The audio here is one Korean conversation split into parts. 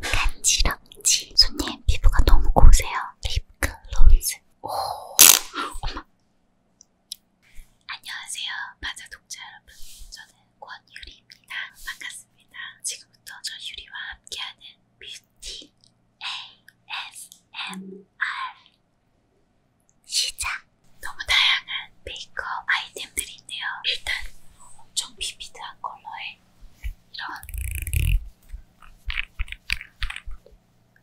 간지럽지? 손님 피부가 너무 고우세요. 립글로즈. 오, 엄마. 안녕하세요. 마자 독자 여러분. 저는 권유리입니다. 반갑습니다. 지금부터 저 유리와 함께하는 뷰티 ASMR 시작! 너무 다양한 메이크업 아이템들이 있네요. 일단 엄청 비비드한 컬러에 이런.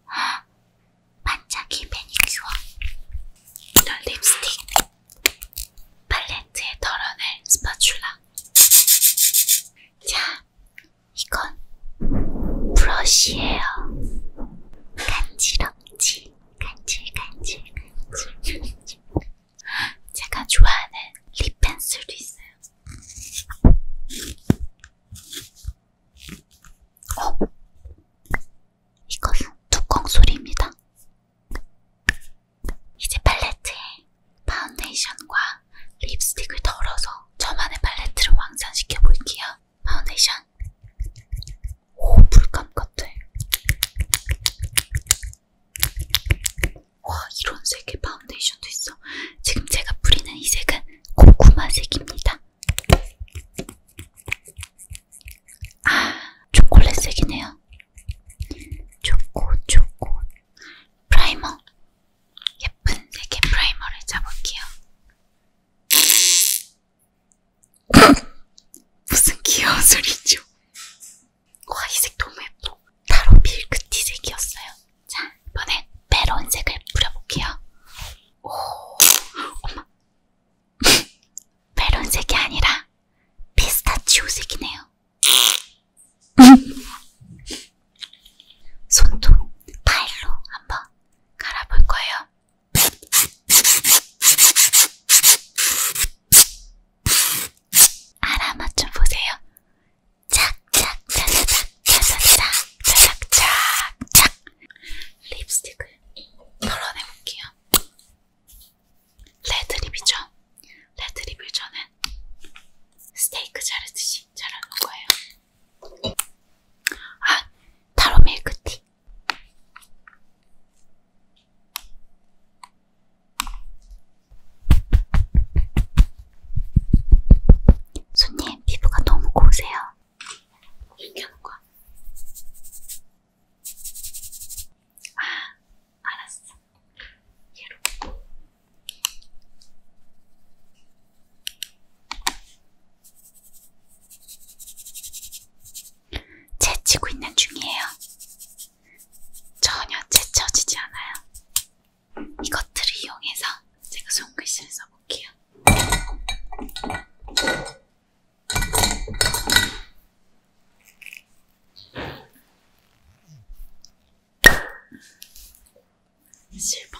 아, 반짝이 매니큐어. 이런 립스틱. 팔레트에 덜어낼 스파츌라. 자, 이건 브러쉬예요. 간지럽지? 간질, 간질, 간질. 제가 좋아하는 립 펜슬도 있어요. 어? 이것은 뚜껑 소리입니다. 이제 팔레트에 파운데이션과 립스틱을 덜어서 저만의 팔레트를 완성시켜 볼게요. 파운데이션. 오, 물감 같아. 와 이런 색의 파운데이션도 있어. 지금 제가 뿌리는 이 색은 고구마색입니다. 아 초콜릿색이네요. 초코 초코 프라이머 예쁜 색의 프라이머를 짜볼게요. 무슨 귀여운 소리죠? 와, 이색 너무 예뻐. 타로 밀크티색이었어요. 자, 이번엔 메론색을 뿌려볼게요. 오, 엄마. 메론색이 아니라 피스타치오색이네요. 손도 파일로 한번 갈아볼 거예요. 알아 맞춤 보세요. 착착착착착착착착착착 립스틱을 덜어내볼게요. 레드립이죠. 레드립을 저는 스테이크 자르듯이 자르는 거예요. 아, 타로 밀크티. 손님 피부가 너무 고우세요. 얘기하는 거야. 아, 알았어. 얘로. 채치고 있는 중이에요. 전혀 채쳐지지 않아요. 이것들을 이용해서 제가 손글씨를 써볼게요. 실버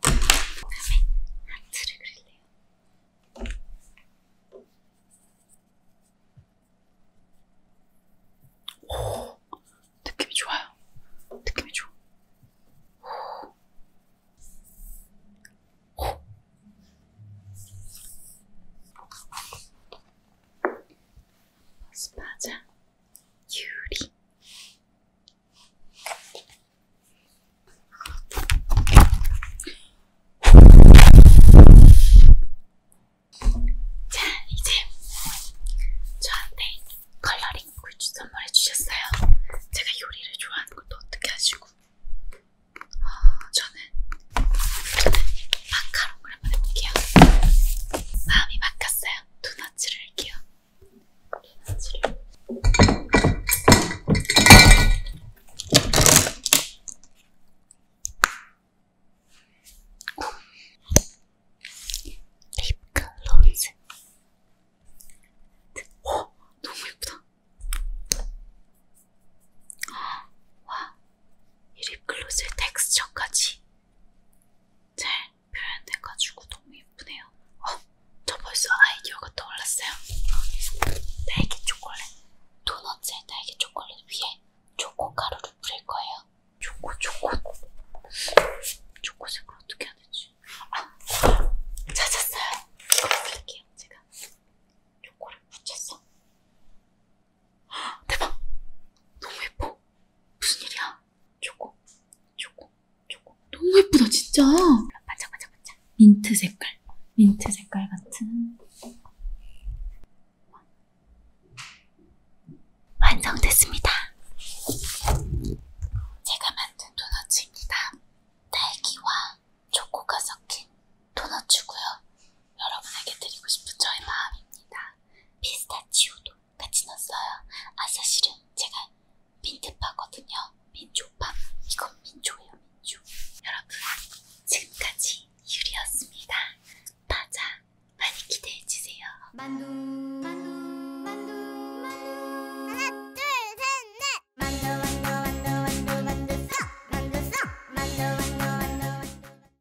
그다음에 하트를 그릴래요. 오, 느낌이 좋아요. 느낌이 좋아. 오. 오. 스파자 유리 자, 이제 저한테 컬러링 굿즈 선물해 주셨어요. 제가 요리를 좋아하는 것도 어떻게 아시고, 어, 아, 저는, 저는 마카롱을 한번 해볼게요. 마음이 바뀌었어요. 도넛을 할게요. 비나질. 립글로즈. 와, 너무 예쁘다. 와, 이 립글로즈의 텍스처까지. 잘 표현돼가지고 너무 예쁘네요. 어, 저 벌써 아이디어가 떠올랐어요. 딸기 초콜릿, 도넛에 딸기 초콜릿 위에 초코 가루를 뿌릴 거예요. 초코, 초코. 초코색을 어떻게 해야 되지? 아, 찾았어요. 이거 뿌릴게요, 제가. 초코를 붙였어. 대박! 너무 예뻐. 무슨 일이야? 초코, 초코, 초코. 너무 예쁘다, 진짜. 반짝반짝 반짝, 반짝. 민트 색깔. 민트 색깔 같은. 완성됐습니다. 제가 만든 도넛입니다. 딸기와 초코가 섞인 도넛이고요. 여러분에게 드리고 싶은 저의 마음입니다. 피스타치오도 같이 넣었어요. 아 사실은 제가 민트파거든요. 민초파. 이건 민초예요. 민초. 여러분 지금까지 유리였습니다. 맞아. 많이 기대해주세요. 만두 만두 만두 만두 하나 둘 셋넷 만두 만두 만두 만두 만두 쏙 만두 쏙 만두 만두 만두